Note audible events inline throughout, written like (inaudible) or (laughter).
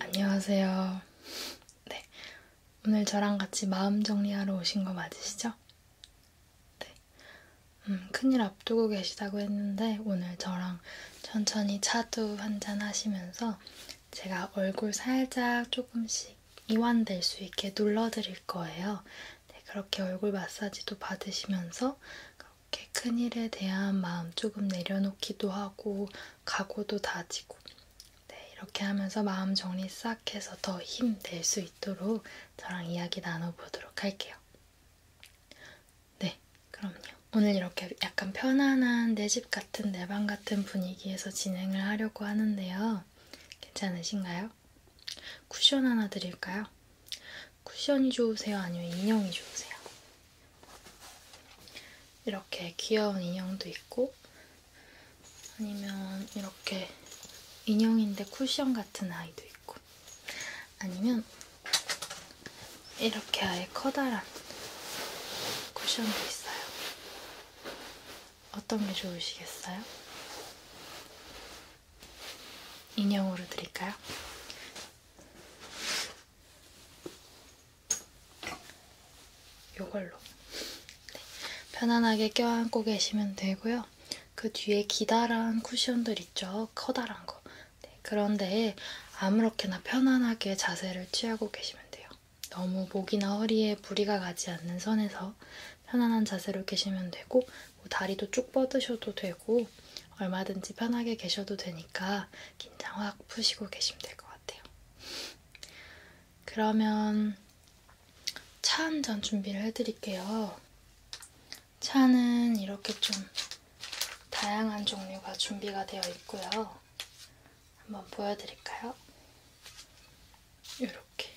안녕하세요. 네. 오늘 저랑 같이 마음 정리하러 오신 거 맞으시죠? 네. 음, 큰일 앞두고 계시다고 했는데 오늘 저랑 천천히 차도 한 잔 하시면서 제가 얼굴 살짝 조금씩 이완될 수 있게 눌러드릴 거예요. 네, 그렇게 얼굴 마사지도 받으시면서 이렇게 큰 일에 대한 마음 조금 내려놓기도 하고 각오도 다지고 네, 이렇게 하면서 마음 정리 싹 해서 더 힘 낼 수 있도록 저랑 이야기 나눠보도록 할게요. 네, 그럼요. 오늘 이렇게 약간 편안한 내 집 같은 내 방 같은 분위기에서 진행을 하려고 하는데요. 괜찮으신가요? 쿠션 하나 드릴까요? 쿠션이 좋으세요? 아니면 인형이 좋으세요? 이렇게 귀여운 인형도 있고 아니면 이렇게 인형인데 쿠션 같은 아이도 있고 아니면 이렇게 아예 커다란 쿠션도 있어요. 어떤 게 좋으시겠어요? 인형으로 드릴까요? 요걸로 네. 편안하게 껴안고 계시면 되고요. 그 뒤에 기다란 쿠션들 있죠? 커다란 거. 네. 그런데 아무렇게나 편안하게 자세를 취하고 계시면 돼요. 너무 목이나 허리에 무리가 가지 않는 선에서 편안한 자세로 계시면 되고 뭐 다리도 쭉 뻗으셔도 되고 되고 얼마든지 편하게 계셔도 되니까 긴장 확 푸시고 계시면 될 것 같아요. 그러면 차 한 잔 준비를 해드릴게요. 차는 이렇게 좀 다양한 종류가 준비가 되어 있고요. 한번 보여드릴까요? 이렇게.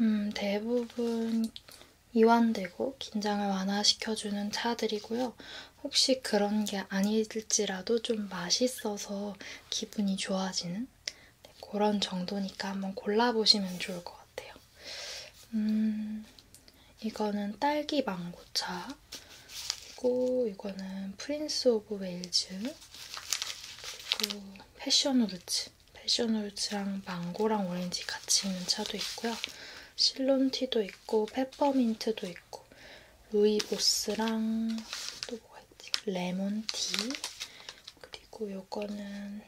음, 대부분 이완되고 긴장을 완화시켜주는 차들이고요. 혹시 그런 게 아닐지라도 좀 맛있어서 기분이 좋아지는 네, 그런 정도니까 한번 골라보시면 좋을 것 같아요. 음, 이거는 딸기 망고차. 그리고 이거는 프린스 오브 웨일즈. 그리고 패션 우르츠. 패션 우르츠랑 망고랑 오렌지 같이 있는 차도 있고요. 실론티도 있고 페퍼민트도 있고 루이보스랑 또 뭐가 있지? 레몬티 그리고 요거는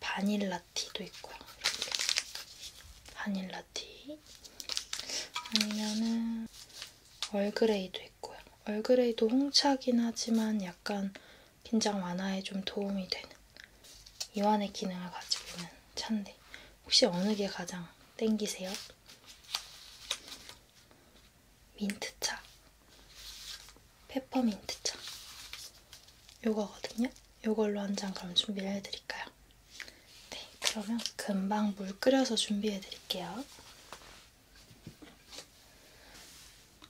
바닐라티도 있고요. 이렇게 바닐라티 아니면은 얼그레이도 있고요. 얼그레이도 홍차긴 하지만 약간 긴장 완화에 좀 도움이 되는 이완의 기능을 가지고 있는 차인데 혹시 어느 게 가장 땡기세요? 민트차, 페퍼민트차 요거거든요. 요걸로 한잔 그럼 준비를 해드릴까요? 네, 그러면 금방 물 끓여서 준비해드릴게요.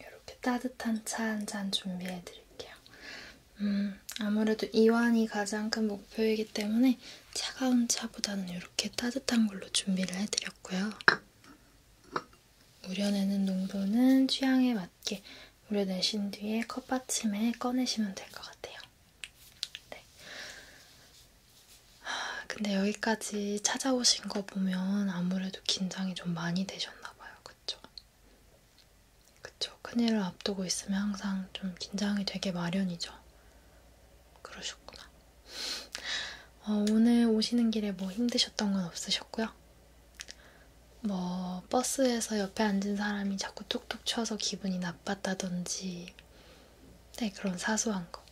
이렇게 따뜻한 차 한 잔 준비해 드릴게요. 음, 아무래도 이완이 가장 큰 목표이기 때문에 차가운 차보다는 이렇게 따뜻한 걸로 준비를 해드렸고요. 우려내는 농도는 취향에 맞게 우려내신 뒤에 컵받침에 꺼내시면 될 것 같아요. 네. 하, 근데 여기까지 찾아오신 거 보면 아무래도 긴장이 좀 많이 되셨나봐요. 그쵸? 그쵸. 큰일을 앞두고 있으면 항상 좀 긴장이 되게 마련이죠. 그러셨구나. 어, 오늘 오시는 길에 뭐 힘드셨던 건 없으셨고요? 뭐, 버스에서 옆에 앉은 사람이 자꾸 툭툭 쳐서 기분이 나빴다든지, 네, 그런 사소한 거.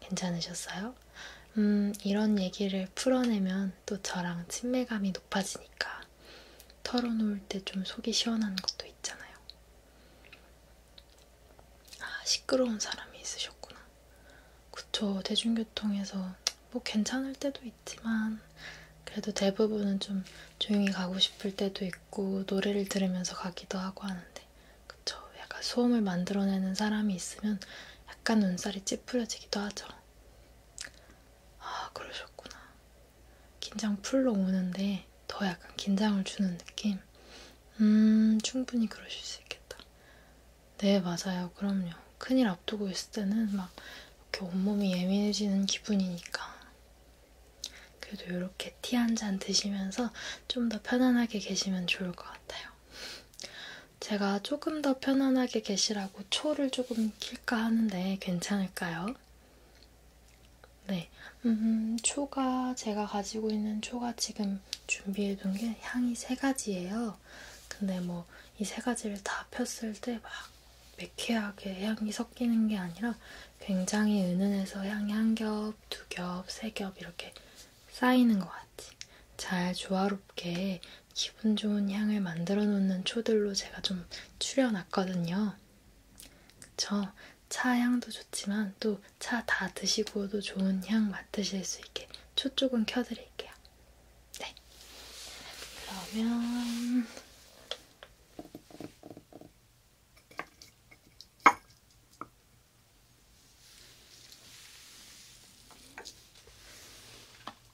괜찮으셨어요? 음, 이런 얘기를 풀어내면 또 저랑 친밀감이 높아지니까 털어놓을 때 좀 속이 시원한 것도 있잖아요. 아, 시끄러운 사람이 있으셨구나. 그쵸, 대중교통에서 뭐 괜찮을 때도 있지만, 그래도 대부분은 좀 조용히 가고 싶을 때도 있고, 노래를 들으면서 가기도 하고 하는데, 그쵸, 약간 소음을 만들어내는 사람이 있으면 약간 눈살이 찌푸려지기도 하죠. 아, 그러셨구나. 긴장 풀러 오는데 더 약간 긴장을 주는 느낌? 음, 충분히 그러실 수 있겠다. 네, 맞아요. 그럼요. 큰일 앞두고 있을 때는 막 이렇게 온몸이 예민해지는 기분이니까. 그래도 이렇게 티 한 잔 드시면서 좀 더 편안하게 계시면 좋을 것 같아요. 제가 조금 더 편안하게 계시라고 초를 조금 킬까 하는데 괜찮을까요? 네, 음, 초가 제가 가지고 있는 초가 지금 준비해둔 게 향이 세 가지예요. 근데 뭐 이 세 가지를 다 폈을 때 막 매캐하게 향이 섞이는 게 아니라 굉장히 은은해서 향이 한 겹, 두 겹, 세 겹 이렇게 쌓이는 것 같아요. 같이 잘 조화롭게 기분 좋은 향을 만들어 놓는 초들로 제가 좀 추려놨거든요. 그쵸? 차 향도 좋지만 또 차 다 드시고도 좋은 향 맡으실 수 있게 초 쪽은 켜드릴게요. 네. 그러면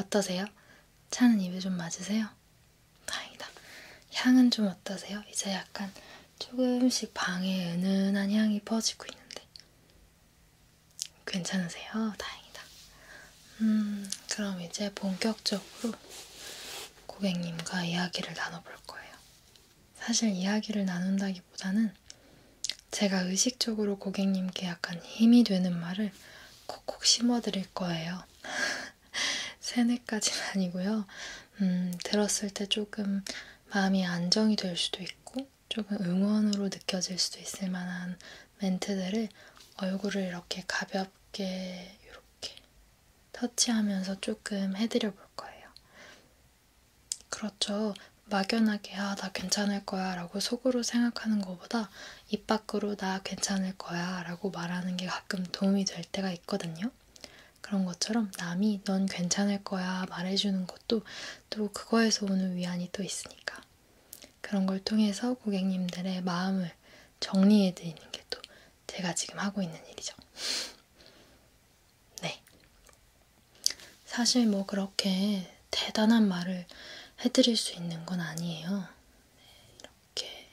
어떠세요? 차는 입에 좀 맞으세요? 다행이다. 향은 좀 어떠세요? 이제 약간 조금씩 방에 은은한 향이 퍼지고 있는데. 괜찮으세요? 다행이다. 음, 그럼 이제 본격적으로 고객님과 이야기를 나눠볼 거예요. 사실 이야기를 나눈다기보다는 제가 의식적으로 고객님께 약간 힘이 되는 말을 콕콕 심어드릴 거예요. 세뇌까지는 (laughs) 아니고요. 음, 들었을 때 조금 마음이 안정이 될 수도 있고, 조금 응원으로 느껴질 수도 있을 만한 멘트들을 얼굴을 이렇게 가볍게 이렇게 터치하면서 조금 해드려 볼 거예요. 그렇죠. 막연하게, 아, 나 괜찮을 거야 라고 속으로 생각하는 것보다 입 밖으로 나 괜찮을 거야 라고 말하는 게 가끔 도움이 될 때가 있거든요. 그런 것처럼 남이 넌 괜찮을 거야 말해주는 것도 또 그거에서 오는 위안이 또 있으니까. 그런 걸 통해서 고객님들의 마음을 정리해드리는 게 또 제가 지금 하고 있는 일이죠. (laughs) 네. 사실 뭐 그렇게 대단한 말을 해드릴 수 있는 건 아니에요. 네, 이렇게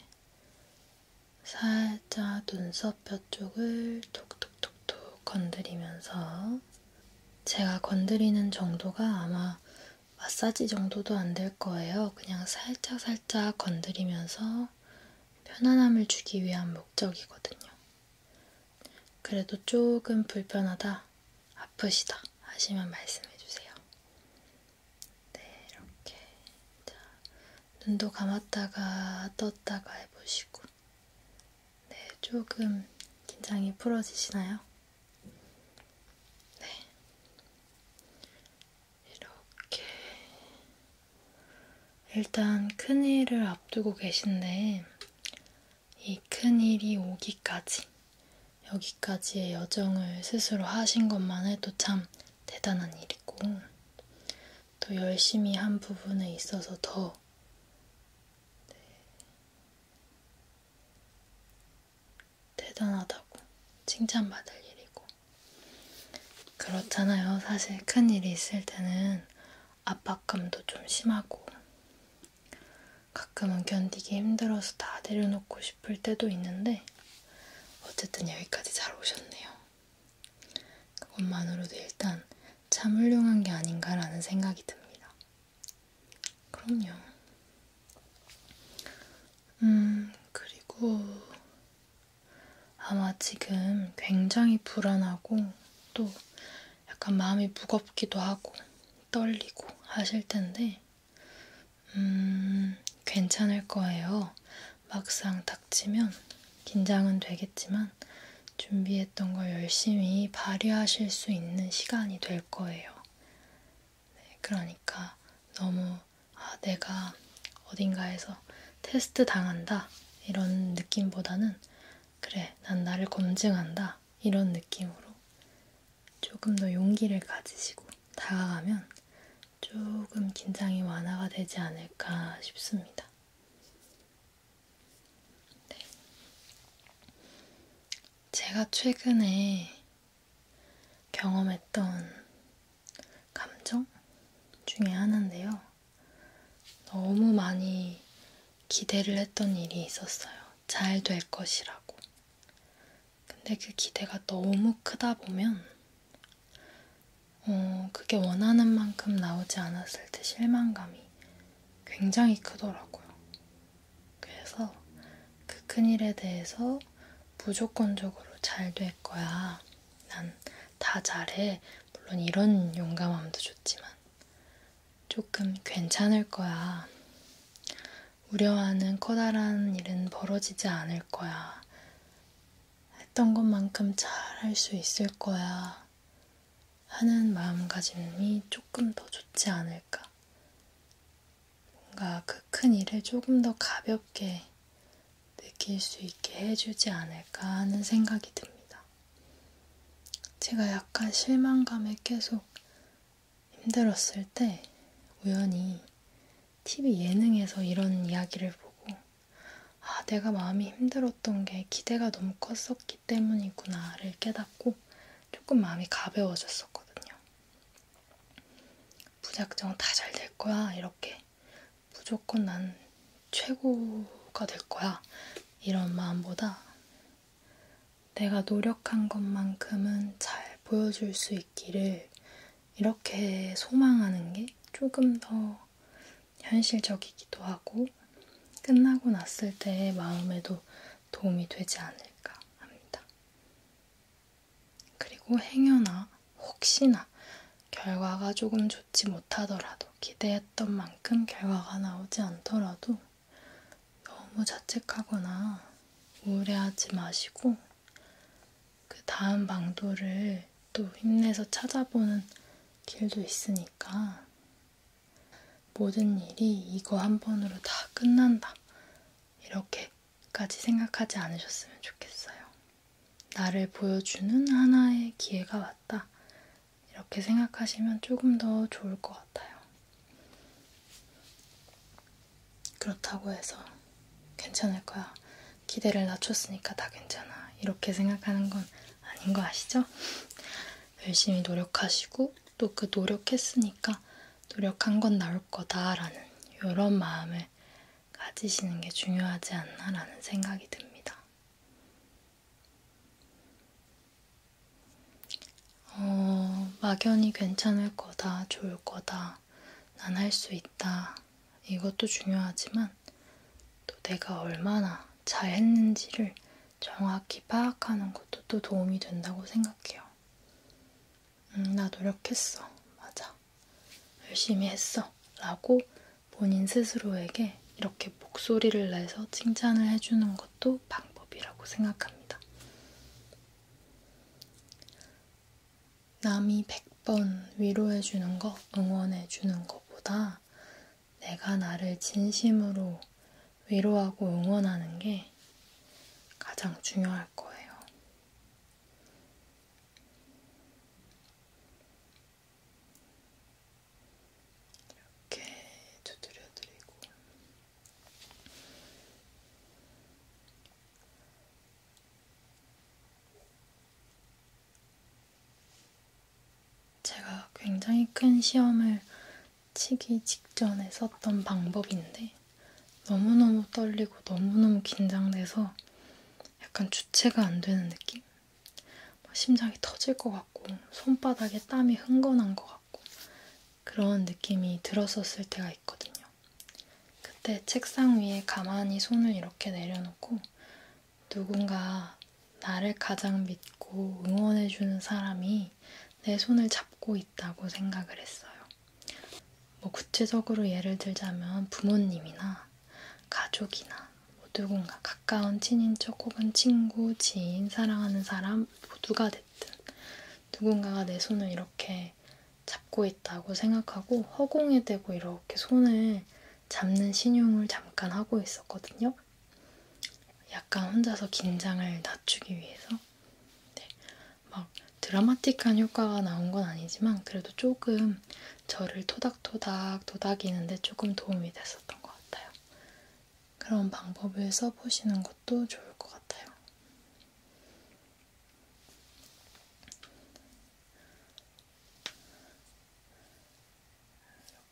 살짝 눈썹 뼈 쪽을 톡톡톡톡 건드리면서 제가 건드리는 정도가 아마 마사지 정도도 안 될 거예요. 그냥 살짝 살짝 건드리면서 편안함을 주기 위한 목적이거든요. 그래도 조금 불편하다 아프시다 하시면 말씀해주세요. 네, 이렇게. 자, 눈도 감았다가 떴다가 해보시고. 네, 조금 긴장이 풀어지시나요? 네. 이렇게. 일단 큰일을 앞두고 계신데, 이 큰일이 오기까지 여기까지의 여정을 스스로 하신 것만 해도 참 대단한 일이고, 또 열심히 한 부분에 있어서 더 네, 대단하다고 칭찬받을 일이고. 그렇잖아요. 사실 큰 일이 있을 때는 압박감도 좀 심하고, 가끔은 견디기 힘들어서 다 내려놓고 싶을 때도 있는데 어쨌든 여기까지 잘 오셨네요. 그것만으로도 일단 참 훌륭한 게 아닌가라는 생각이 듭니다. 그럼요. 음, 그리고 아마 지금 굉장히 불안하고 또 약간 마음이 무겁기도 하고 떨리고 하실 텐데 음, 괜찮을 거예요. 막상 닥치면 긴장은 되겠지만 준비했던 걸 열심히 발휘하실 수 있는 시간이 될 거예요. 네, 그러니까 너무 아, 내가 어딘가에서 테스트 당한다 이런 느낌보다는 그래, 난 나를 검증한다 이런 느낌으로 조금 더 용기를 가지시고 다가가면 조금 긴장이 완화가 되지 않을까 싶습니다. 네. 제가 최근에 경험했던 감정 중에 하나인데요. 너무 많이 기대를 했던 일이 있었어요. 잘될 것이라고. 근데 그 기대가 너무 크다 보면, 어, 그게 원하는 만큼 나오지 않았을 때 실망감이 굉장히 크더라고요. 그래서 그 큰 일에 대해서 무조건적으로 잘 될 거야. 난 다 잘해. 물론 이런 용감함도 좋지만, 조금 괜찮을 거야. 우려하는 커다란 일은 벌어지지 않을 거야. 했던 것만큼 잘 할 수 있을 거야. 하는 마음가짐이 조금 더 좋지 않을까. 뭔가 그 큰 일을 조금 더 가볍게 느낄 수 있게 해주지 않을까 하는 생각이 듭니다. 제가 약간 실망감에 계속 힘들었을 때 우연히 TV 예능에서 이런 이야기를 보고 아, 내가 마음이 힘들었던 게 기대가 너무 컸었기 때문이구나를 깨닫고 조금 마음이 가벼워졌었거든요. 무작정 다 잘 될 거야. 이렇게 무조건 난 최고가 될 거야. 이런 마음보다 내가 노력한 것만큼은 잘 보여줄 수 있기를 이렇게 소망하는 게 조금 더 현실적이기도 하고 끝나고 났을 때의 마음에도 도움이 되지 않을까 합니다. 그리고 행여나 혹시나 결과가 조금 좋지 못하더라도 기대했던 만큼 결과가 나오지 않더라도 너무 자책하거나 우울해하지 마시고 그 다음 방도를 또 힘내서 찾아보는 길도 있으니까 모든 일이 이거 한 번으로 다 끝난다 이렇게까지 생각하지 않으셨으면 좋겠어요. 나를 보여주는 하나의 기회가 왔다 이렇게 생각하시면 조금 더 좋을 것 같아요. 그렇다고 해서 괜찮을 거야. 기대를 낮췄으니까 다 괜찮아. 이렇게 생각하는 건 아닌 거 아시죠? 열심히 노력하시고 또 그 노력했으니까 노력한 건 나올 거다라는 이런 마음을 가지시는 게 중요하지 않나라는 생각이 듭니다. 어, 막연히 괜찮을 거다, 좋을 거다, 난 할 수 있다. 이것도 중요하지만 또 내가 얼마나 잘했는지를 정확히 파악하는 것도 또 도움이 된다고 생각해요. 음, 나 노력했어. 맞아. 열심히 했어. 라고 본인 스스로에게 이렇게 목소리를 내서 칭찬을 해주는 것도 방법이라고 생각합니다. 남이 100번 위로해주는 거, 응원해주는 것보다 내가 나를 진심으로 위로하고 응원하는 게 가장 중요할 거예요. 이렇게 두드려드리고 제가 굉장히 큰 시험을 치기 직전에 썼던 방법인데 너무너무 떨리고 너무너무 긴장돼서 약간 주체가 안 되는 느낌? 뭐 심장이 터질 것 같고 손바닥에 땀이 흥건한 것 같고 같고 그런 느낌이 들었었을 때가 있거든요. 그때 책상 위에 가만히 손을 이렇게 내려놓고 누군가 나를 가장 믿고 응원해주는 사람이 내 손을 잡고 있다고 생각을 했어요. 뭐 구체적으로 예를 들자면 부모님이나 가족이나 뭐 누군가 가까운 친인척 혹은 친구, 지인, 사랑하는 사람 모두가 됐든 누군가가 내 손을 이렇게 잡고 있다고 생각하고 허공에 대고 이렇게 손을 잡는 신용을 잠깐 하고 있었거든요. 약간 혼자서 긴장을 낮추기 위해서. 네. 막 드라마틱한 효과가 나온 건 아니지만 그래도 조금 저를 토닥토닥 도닥이는데 조금 도움이 됐었던 것 같아요. 그런 방법을 써보시는 것도 좋을 것 같아요.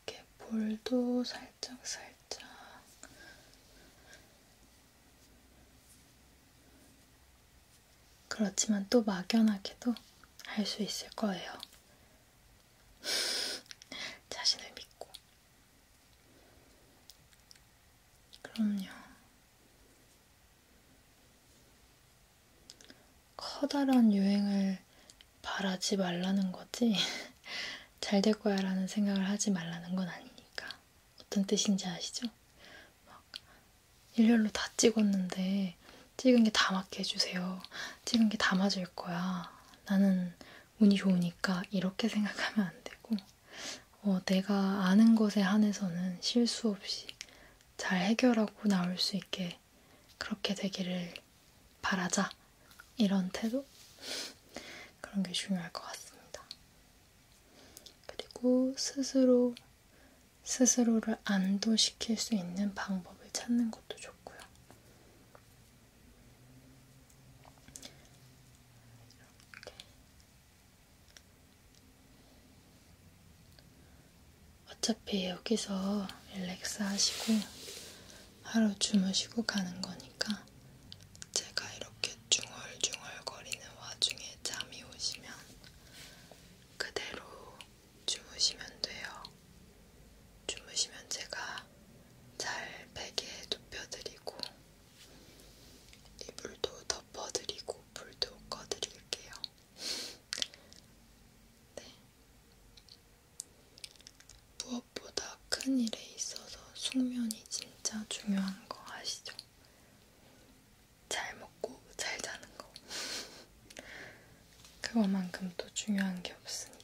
이렇게 볼도 살짝 살짝 그렇지만 또 막연하게도 할 수 있을 거예요. (laughs) 자신을 믿고. 그럼요. 커다란 유행을 바라지 말라는 거지, (laughs) 잘 될 거야 라는 생각을 하지 말라는 건 아니니까. 어떤 뜻인지 아시죠? 막, 일렬로 다 찍었는데, 찍은 게 다 맞게 해주세요. 찍은 게 다 맞을 거야. 나는 운이 좋으니까 이렇게 생각하면 안 되고, 어, 내가 아는 것에 한해서는 실수 없이 잘 해결하고 나올 수 있게 그렇게 되기를 바라자. 이런 태도? (laughs) 그런 게 중요할 것 같습니다. 그리고 스스로, 스스로를 안도시킬 수 있는 방법을 찾는 것도 좋고요. 이렇게 어차피 여기서 릴렉스 하시고 하루 주무시고 가는 거니까 제가 이렇게 중얼중얼 거리는 와중에 잠이 오시면 그대로 주무시면 돼요. 주무시면 제가 잘 베개에 눕혀드리고 이불도 덮어드리고 불도 꺼드릴게요. 네. 무엇보다 큰 일에 있어서 숙면이 진짜 중요한 거 아시죠? 잘 먹고 잘 자는 거. (laughs) 그거만큼 또 중요한 게 없으니까.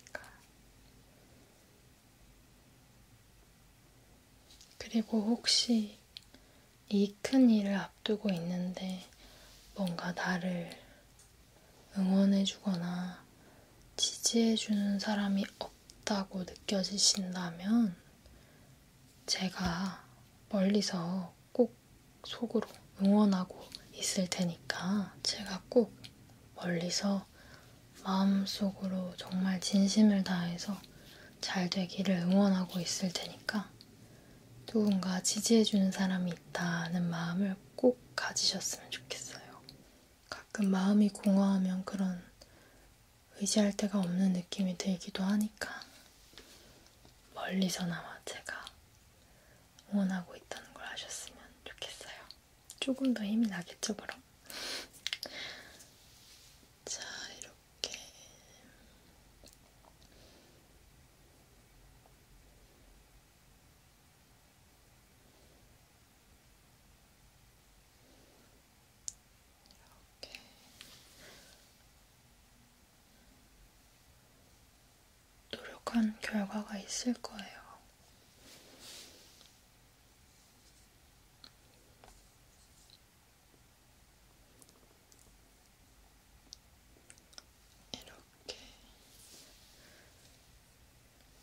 그리고 혹시 이 큰 일을 앞두고 있는데 뭔가 나를 응원해주거나 지지해주는 사람이 없다고 느껴지신다면 제가 멀리서 꼭 속으로 응원하고 있을 테니까 제가 꼭 멀리서 하면서 마음속으로 정말 진심을 다해서 잘 되기를 응원하고 있을 테니까 누군가 지지해주는 사람이 있다는 마음을 꼭 가지셨으면 좋겠어요. 가끔 마음이 공허하면 그런 의지할 데가 없는 느낌이 들기도 하니까 멀리서나마 제가 응원하고 있다는 걸 아셨으면 좋겠어요. 조금 더 힘이 나겠죠, 그럼? 자, 이렇게. 이렇게. 노력한 결과가 있을 거예요. 이렇게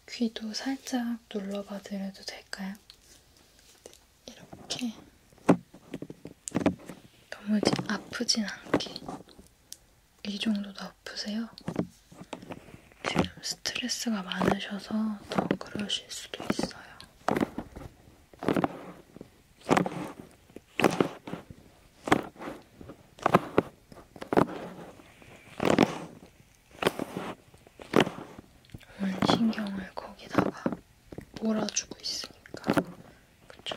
귀도 살짝 눌러봐 드려도 될까요? 이렇게 너무 아프진 않게 이 정도도 아프세요? 지금 스트레스가 많으셔서 더 그러실 수도 있어요. 온 신경을 거기다가 몰아주고 있으니까 그쵸?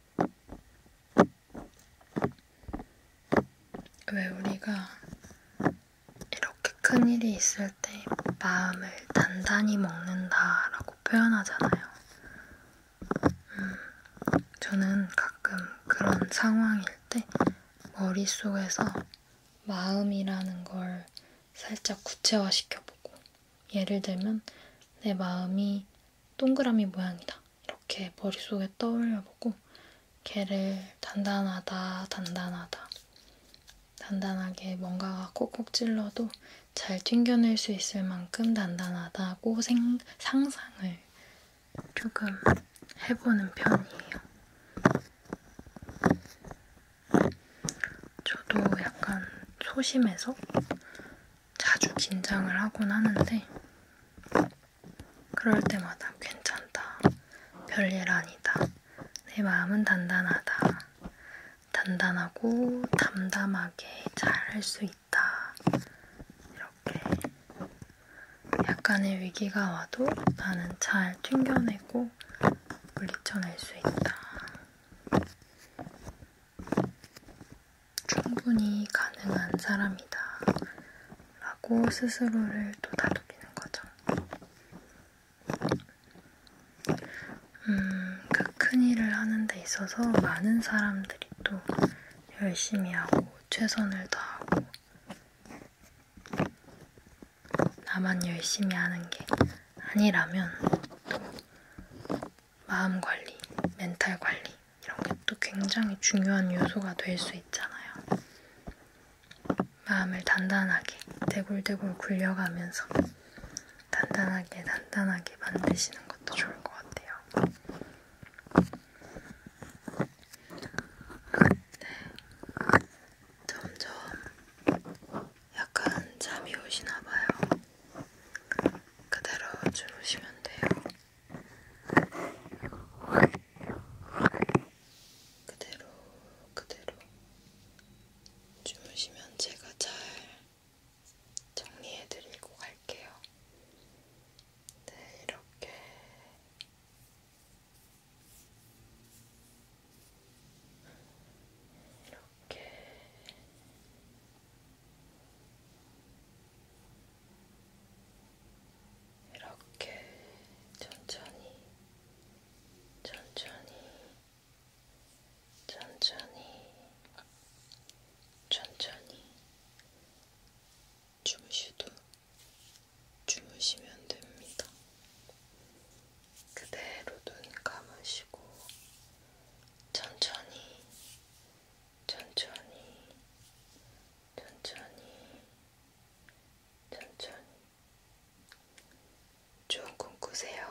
왜 우리가 이렇게 큰 일이 있을 때 마음을 단단히 먹는다라고 표현하잖아요. 음, 저는 가끔 그런 상황일 때 머릿속에서 마음이라는 걸 살짝 구체화시켜보고 예를 들면 내 마음이 동그라미 모양이다. 이렇게 머릿속에 떠올려보고 걔를 단단하다, 단단하다. 단단하게 뭔가가 콕콕 찔러도 잘 튕겨낼 수 있을 만큼 단단하다고 생, 상상을 조금 해보는 편이에요. 저도 약간 소심해서 자주 긴장을 하곤 하는데 그럴 때마다 괜찮다. 별일 아니다. 내 마음은 단단하다. 단단하고 담담하게 잘 할 수 있다. 이렇게 약간의 위기가 와도 나는 잘 튕겨내고 물리쳐낼 수 있다. 충분히 가능한 사람이다 라고 스스로를 또 다독이는 거죠. 음, 그 큰 일을 하는 데 있어서 많은 사람들이 또 열심히 하고 최선을 다하고 나만 열심히 하는 게 아니라면 또 마음 관리, 멘탈 관리 이런 게 또 굉장히 중요한 요소가 될 수 있잖아요. 마음을 단단하게 대굴대굴 굴려가면서 단단하게 단단하게 만드시는 것도 좋을 것 같아요. 네. 점점 약간 잠이 오시나봐요. 그대로 주무시면 돼요. 그대로, 그대로 주무시면 제가 잘 정리해드리고 갈게요. 네, 이렇게. 이렇게 이렇게 이렇게 천천히 천천히 천천히 천천히 주무시도 주무시면 됩니다. 그대로 눈 감으시고 천천히, 천천히, 천천히, 천천히. 좋은 꿈 꾸세요.